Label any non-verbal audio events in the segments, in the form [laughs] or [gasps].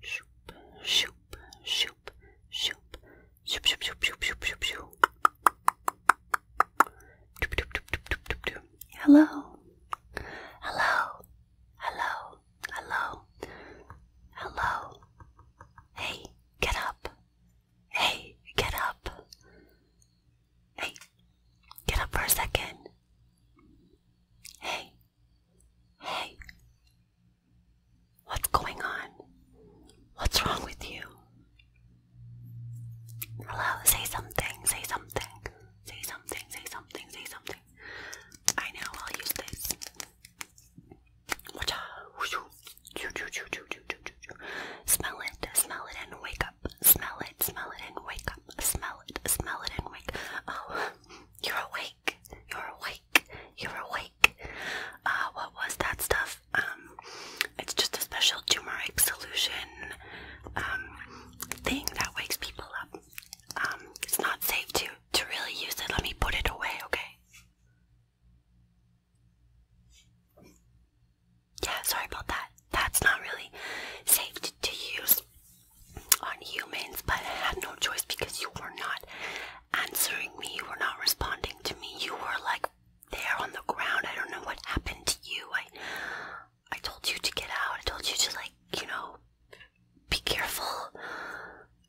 Shoop, shoop, shoop, shoop, shoop, shoop, shoop, shoop, shoop, shoop, shoop. Doop, doop, doop, doop, doop, Hello, hello, hello, hello, hello. Hey, get up. Hey, get up. Hey, get up for a second. Hey, Hey, what's going on? What's wrong with you? Hello, say something, say something, say something, say something, say something. I know, I'll use this. Smell it, smell it, and wake up. Smell it, smell it, and wake up. Smell it, smell it, and wake Oh, you're awake. You're awake. You're awake. Uh, what was that stuff? Um, it's just a special turmeric solution um, thing that wakes people up. Um, it's not safe to to really use it. Let me put it away, okay? Yeah, sorry about that. That's not really safe to use on humans, but I had no choice because you were not answering me, you were not responding to me, you were like there on the ground. I don't know what happened to you. I I told you to get out, I told you to like, you know, be careful.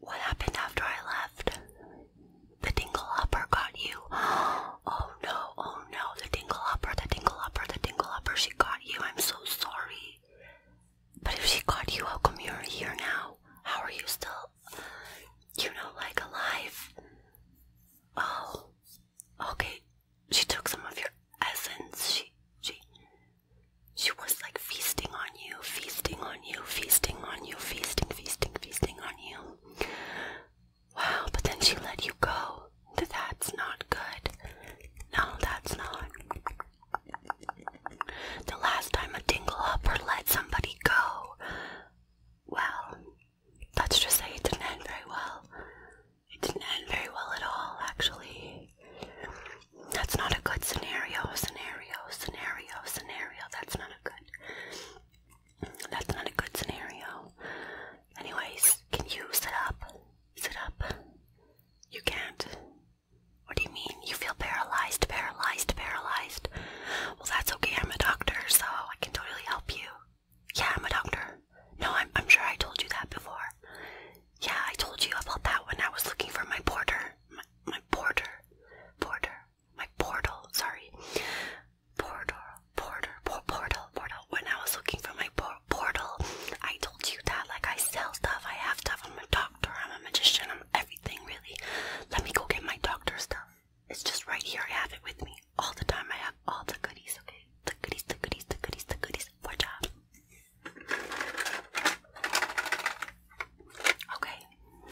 What happened after I left? The dingle upper got you. [gasps] Oh no, oh no, the dingle upper, the dingle upper, the dingle upper, she got you. I'm so sorry. But if she caught you, how come you're here now? How are you still, you know, like alive? Oh, okay. She took some of your essence. She, she, she was like feasting on you, feasting on you, feasting on you, feasting, feasting, feasting on you. Wow, but then she let you go. That's not good. No, that's not. The last time a dingle hopper let somebody go. Well, let's just say it didn't end very well. It didn't end very well at all, actually. That's not a good scenario, scenario, scenario, scenario. That's not a good. That's not a good scenario. Anyways, can you sit up? Sit up. You can't. What do you mean? You feel paralyzed, paralyzed, paralyzed? Well, that's okay. I'm a doctor, so I can totally help you. Yeah, I'm a doctor. No, I'm, I'm sure I told you that before. Yeah, I told you about that when I was looking for my porter. My, my porter. Porter. My portal. Sorry. Porter. Porter. Por portal. Portal. When I was looking for my por portal. I told you that. Like I sell stuff. I have stuff. I'm a doctor. I'm a magician. I'm everything really. Let me go get my doctor stuff. It's just right here. I have it with me all the time. I have all the goodies. Okay, the goodies, the goodies, the goodies, the goodies. Watch out. Okay.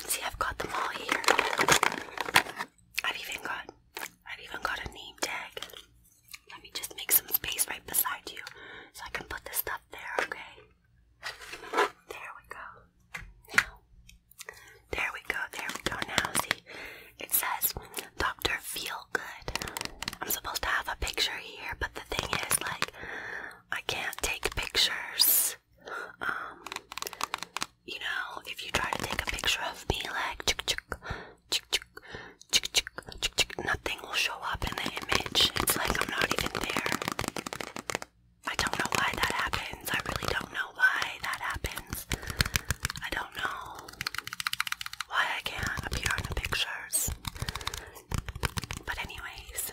See, I've got them all here. I've even got, I've even got a name tag. Let me just make some space right beside you so I can put this stuff there, okay? There we go. there we go, there we go. Now, see, it says Dr. Feel Good. I'm supposed to have a picture here, but the thing is, like, I can't take pictures. Um, you know, if you try to take a picture of me, like, chuk chuk, chuk chuk, nothing will show up in the image. It's like I'm not even there. I don't know why that happens. I really don't know why that happens. I don't know why I can't appear in the pictures. But anyways,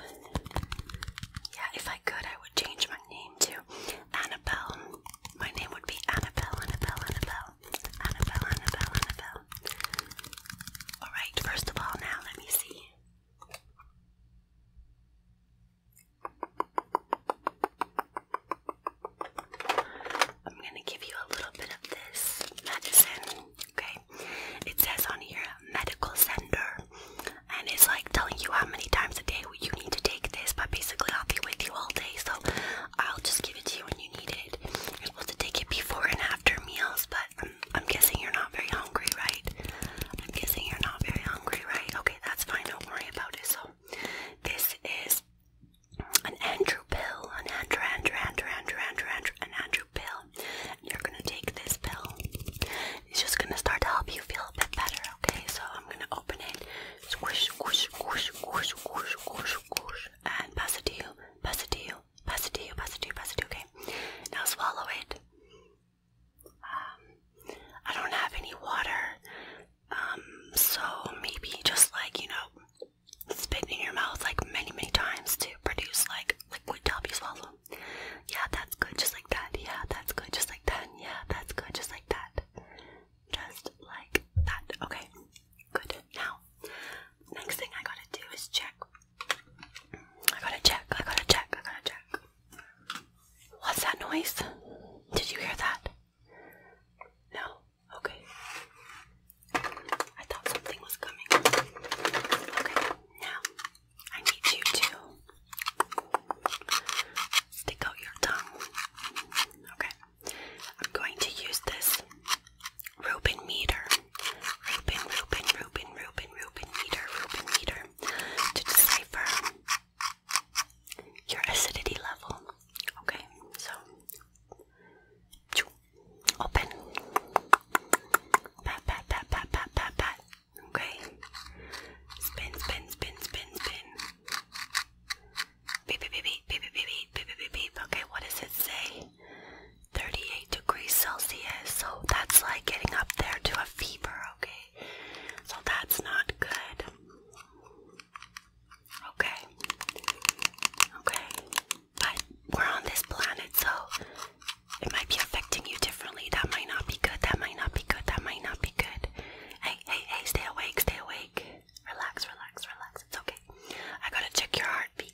yeah, if I could, I would change my name to Annabelle. My name would be Annabelle, Annabelle, Annabelle, Annabelle, Annabelle, Annabelle, Alright, first of all, now let me see. I'm gonna give you a little bit of this medicine, okay? It says on here medical center, and it's like telling you how many times a day you need to take this, but basically, I'll be with you all day, so I'll just give it to you when you need it. You're supposed to take it before and after meals, but I'm, guessing you're not very hungry, right? I'm guessing you're not very hungry, right? Okay, that's fine. Don't worry about it. So, this is an Andrew pill, an Andrew, Andrew, Andrew, Andrew, Andrew, Andrew, an Andrew pill. You're gonna take this pill. It's just gonna start to help you feel a bit better. Okay, so I'm gonna open it. Squish, squish, squish, squish, squish, squish, squish, and pass it to you. Pass it to you pass it to you, pass it to you, pass it to you, okay? Now swallow it. Um, I don't have any water, um, so maybe just like, you know, spit in your mouth like many, many times to produce like liquid to you swallow. Yeah, that's good, just like that. Yeah, that's good, just like that. Yeah, that's good, just like that. Just like that. Okay, good. Now, next thing I gotta do is check I gotta check, I gotta check, I gotta check. What's that noise? Did you hear that? No? Okay. I thought something was coming. Okay, now I need you to stick out your tongue. Okay, I'm going to use this rope and meter. Reuben, Reuben, Reuben, Reuben, Reuben meter, Reuben meter to decipher your acidity level. Okay, so open. Pat, pat, pat, pat, pat, pat, pat. Okay. Spin, spin, spin, spin, spin. beep, beep, beep, beep, beep, beep, beep, beep, beep. Okay, what does it say? 38 degrees Celsius, so that's like getting up there to a fever, okay? So that's not good. Okay. Okay. But we're on this planet, so it might be affecting you differently. That might not be good. That might not be good. That might not be good. Hey, hey, hey, stay awake, stay awake. Relax, relax, relax. It's okay. I gotta check your heartbeat.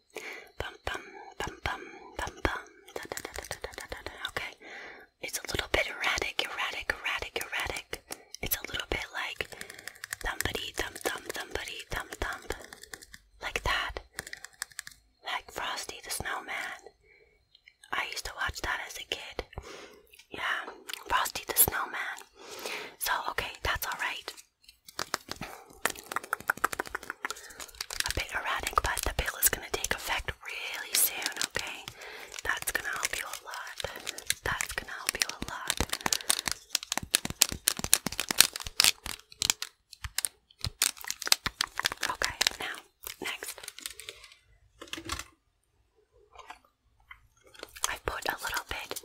Bum bum bum bum bum bum. Okay. It's a little bit erratic, erratic, erratic, erratic. It's a little bit like thumbity, thumb, thumb, thumbity, thumb, thumb. Like that. Like Frosty the Snowman. I used to watch that as a kid. Yeah, Frosty the Snowman. So, okay, that's alright a bit erratic, but the pill is going to take effect really soon, okay? That's going to help you a lot. That's going to help you a lot. Okay, now, next. I put a little bit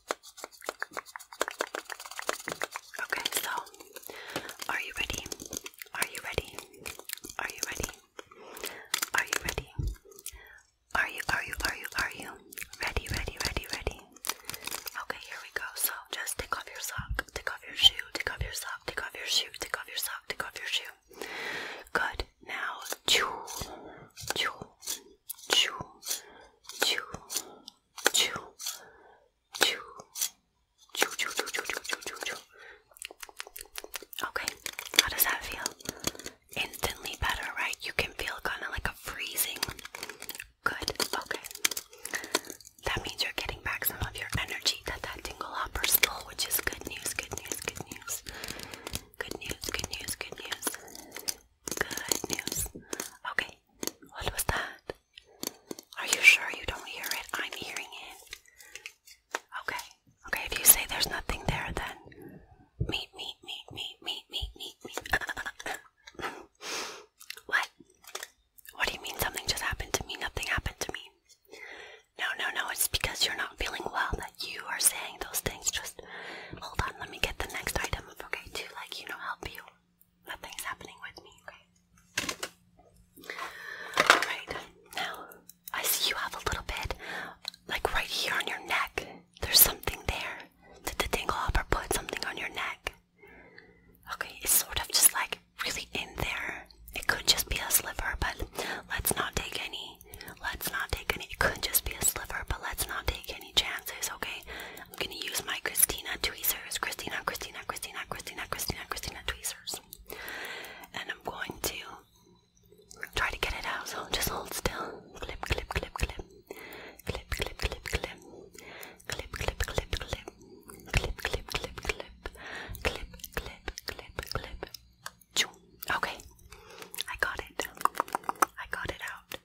Okay, so are you ready? Are you ready? Are you ready? Are you ready? Are you are you are you are you ready ready ready ready? Okay, here we go. So just take off your sock, take off your shoe, take off your sock, take off your shoe, take off your sock, take off your shoe. Good. Now chew chew chew chew chew Choo. Choo, choo, choo, choo, choo, choo, choo. Okay, how does that feel? Instantly better, right? You can feel kind of like a freezing. Good, okay. That means you're getting back some of your energy that that tingle hopper stole, which is good news, good news, good news. Good news, good news, good news. Good news. Okay, what was that? Are you sure you don't hear it? I'm hearing it. Okay. Okay, if you say there's nothing there, then meet, me, meet, me, meet, me, meet, me. [laughs] what? What do you mean something just happened to me? Nothing happened to me. No, no, no, it's because you're not feeling well that you are saying those things. Just hold on, let me get the next item, okay, to like, you know, help you nothing's happening with me, okay? Alright, now I see you have a little bit, like right here on your neck. There's something there. Did the tingle put something on your neck? Okay, it's sort of just like really in there. It could just be a sliver, but let's not take any. Let's not take any. It could just be a sliver, but let's not take any chances, okay? I'm gonna use my Christina tweezers. Christina, Christina, Christina, Christina, Christina, Christina tweezers. And I'm going to try to get it out, so just hold still. Clip, clip, clip, clip. Clip, clip, clip, clip. Clip, clip, clip, clip. Clip, clip, clip, clip. Clip, clip, clip, clip. Choo. Okay. I got it. I got it out.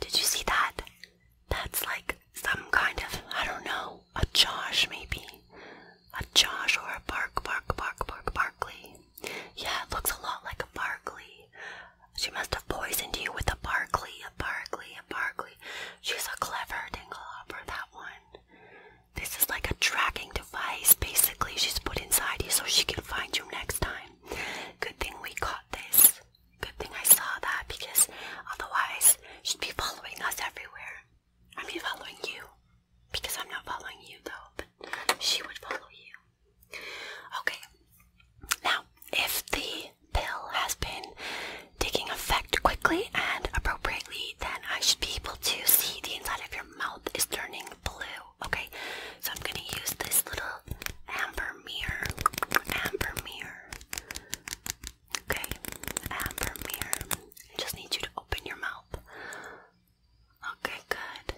Did you see that? That's like some kind of, I don't know, a Josh maybe. A Josh or a Bark, Bark, Bark, Bark, Barkley. Yeah, it looks a lot like a Barkley. She must have poisoned you with a Barkley, a Barkley, a Barkley. She's a clever dinglehopper, that one. This is like a tracking device, basically, she's put inside you so she can find you next time. Good thing we caught this. Good thing I saw that because otherwise she'd be following us everywhere. I mean following you. Because I'm not following you though, but she would follow you. Okay. Now, if the pill has been taking effect quickly and appropriately, then I should be able to see the inside of your mouth is turning blue. Okay, so I'm gonna use this little amber mirror. Amber mirror. Okay, and here, I just need you to open your mouth. Okay, good.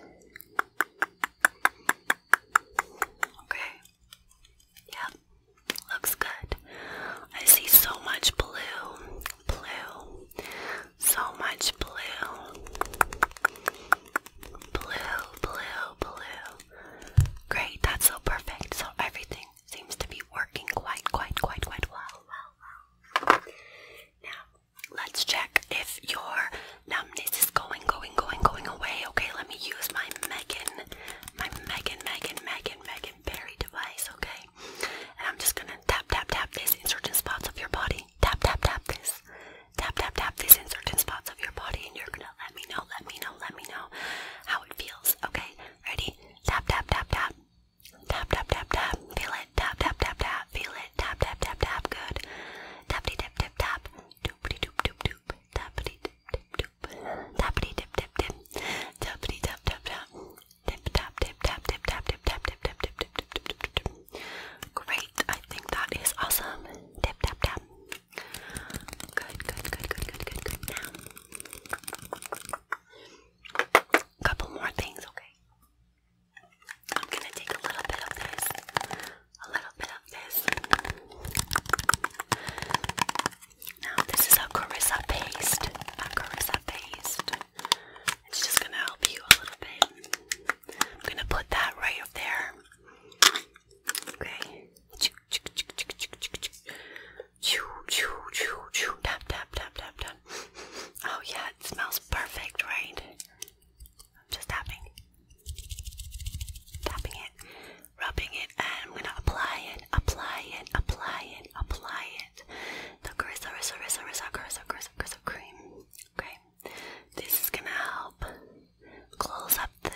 Okay. Yep, looks good. I see so much blue, blue, so much blue. Blue, blue, blue. Great, that's so perfect. So everything seems to be working quite, quite, quite, quite well. Well, well. Now, let's check if your numbness is going, going, going, going away. Okay, let me use my Megan, my Megan, Megan, Megan, Megan Berry device. Okay, and I'm just gonna tap, tap, tap this in certain spots of your body. Tap, tap, tap this. Tap, tap, tap this in certain spots of your body, and you're gonna soda. Let me know, let me know, let me know how it feels. Okay, ready? Tap, tap, tap, tap. Tap, tap, tap, tap. Feel it. Tap, tap, tap, tap. Feel it. Tap, tap, tap, tap. Good. Tappity, tap, tap, tap. Doopity, doop, doop, doop. Tappity, tip, tip, doop. Tappity, tip, tip, tip. Tappity, tap, tap, tap. Tip, tap, tip, tap, tip, tap, tip, tap, tip, tap, tip, tip, tip, tip, tip. Great. I think that is awesome. Tip, tap, tap. Good, good, good, good, good, good, good. Now, a couple more things, okay? I'm gonna take a little bit of this, a little bit of this. Now, this is a Carissa paste, a paste. It's just gonna help you a little bit. I'm gonna put that right up there. Okay. Tap, tap, tap, tap, tap. Oh, yeah, it smells perfect, right? I'm just tapping. Tapping it, rubbing it, and I'm going to apply it, apply it, apply it, apply it. The Carissa, Carissa, Carissa, Carissa, Carissa, Carissa cream. Okay. This is going to help close up the,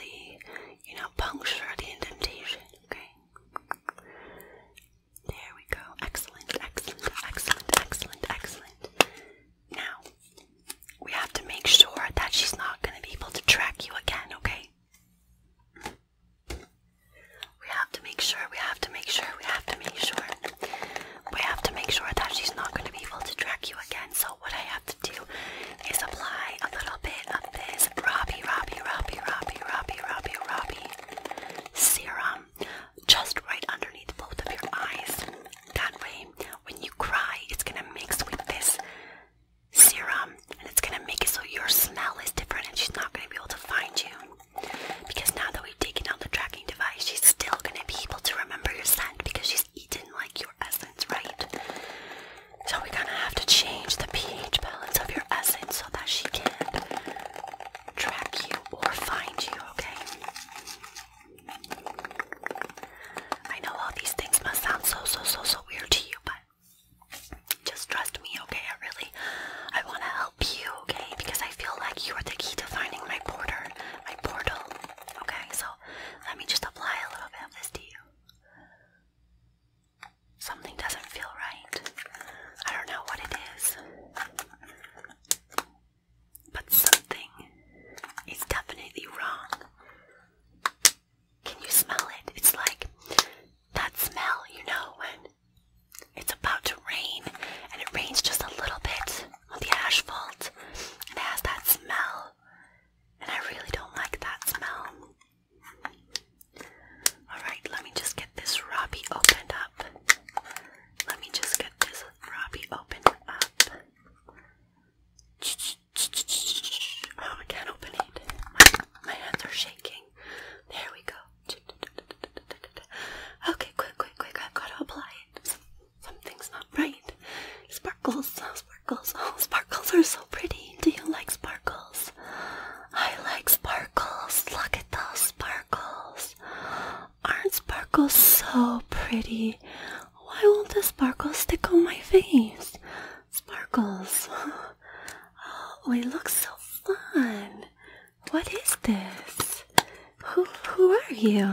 you know, puncture the indentation, okay? There we go. Excellent, excellent, excellent, excellent, excellent. Now, we have to make sure that she's not going to be able to track you again, okay? We have to make sure, we have to make sure, we have to make sure. We have to make sure that she's not going to be able to track you again. So, what I have to do is apply a little bit of this Robbie, Robbie, Robbie, Robbie, Robbie, Robbie, Robbie serum just right underneath both of your eyes. That way, when you cry, it's gonna mix with this serum and it's gonna make it so your smell is different and she's not gonna be able to find you. Because now that we've taken out the tracking device, she's still gonna be able to remember your scent because she's eaten like your essence, right? So we're gonna have to change the pH balance of your essence so that she can track you or find you, okay? I know all these things must sound so so so so weird to you, but just trust me, okay? I really I wanna help you, okay? Because I feel like you're the key to finding my border, my portal. Okay, so let me just apply a little bit of this to you. Something doesn't feel right. I don't know what it is. But something is definitely wrong. Can you smell it? It's like that smell, you know, when it's about to rain and it rains just a little bit on the asphalt and it has that smell. And I really don't like that smell. Alright, let me just get this Robbie opened up. Let me just get this Robbie opened up. Oh, I can't open it. My, my hands are shaking. There we go. Okay, quick, quick, quick. I've got to apply it. Some, something's not right. Sparkles, oh, sparkles, oh, sparkles are so pretty. Do you like sparkles? sparkles. I like sparkles. Look at those sparkles. Aren't sparkles so pretty? Why won't the sparkles stick on my face? Sparkles. Oh, they look so fun. What is this? Who who are you?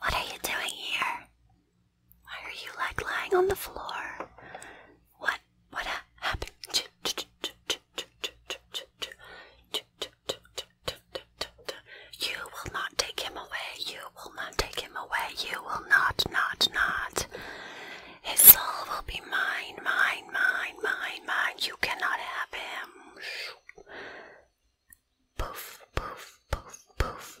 What are you doing here? Why are you like lying on the floor? What what happened? You will not take him away. You will not take him away. You will not, not, not. His soul will be mine, mine, mine, mine, mine. You cannot have him. Poof, poof, poof, poof.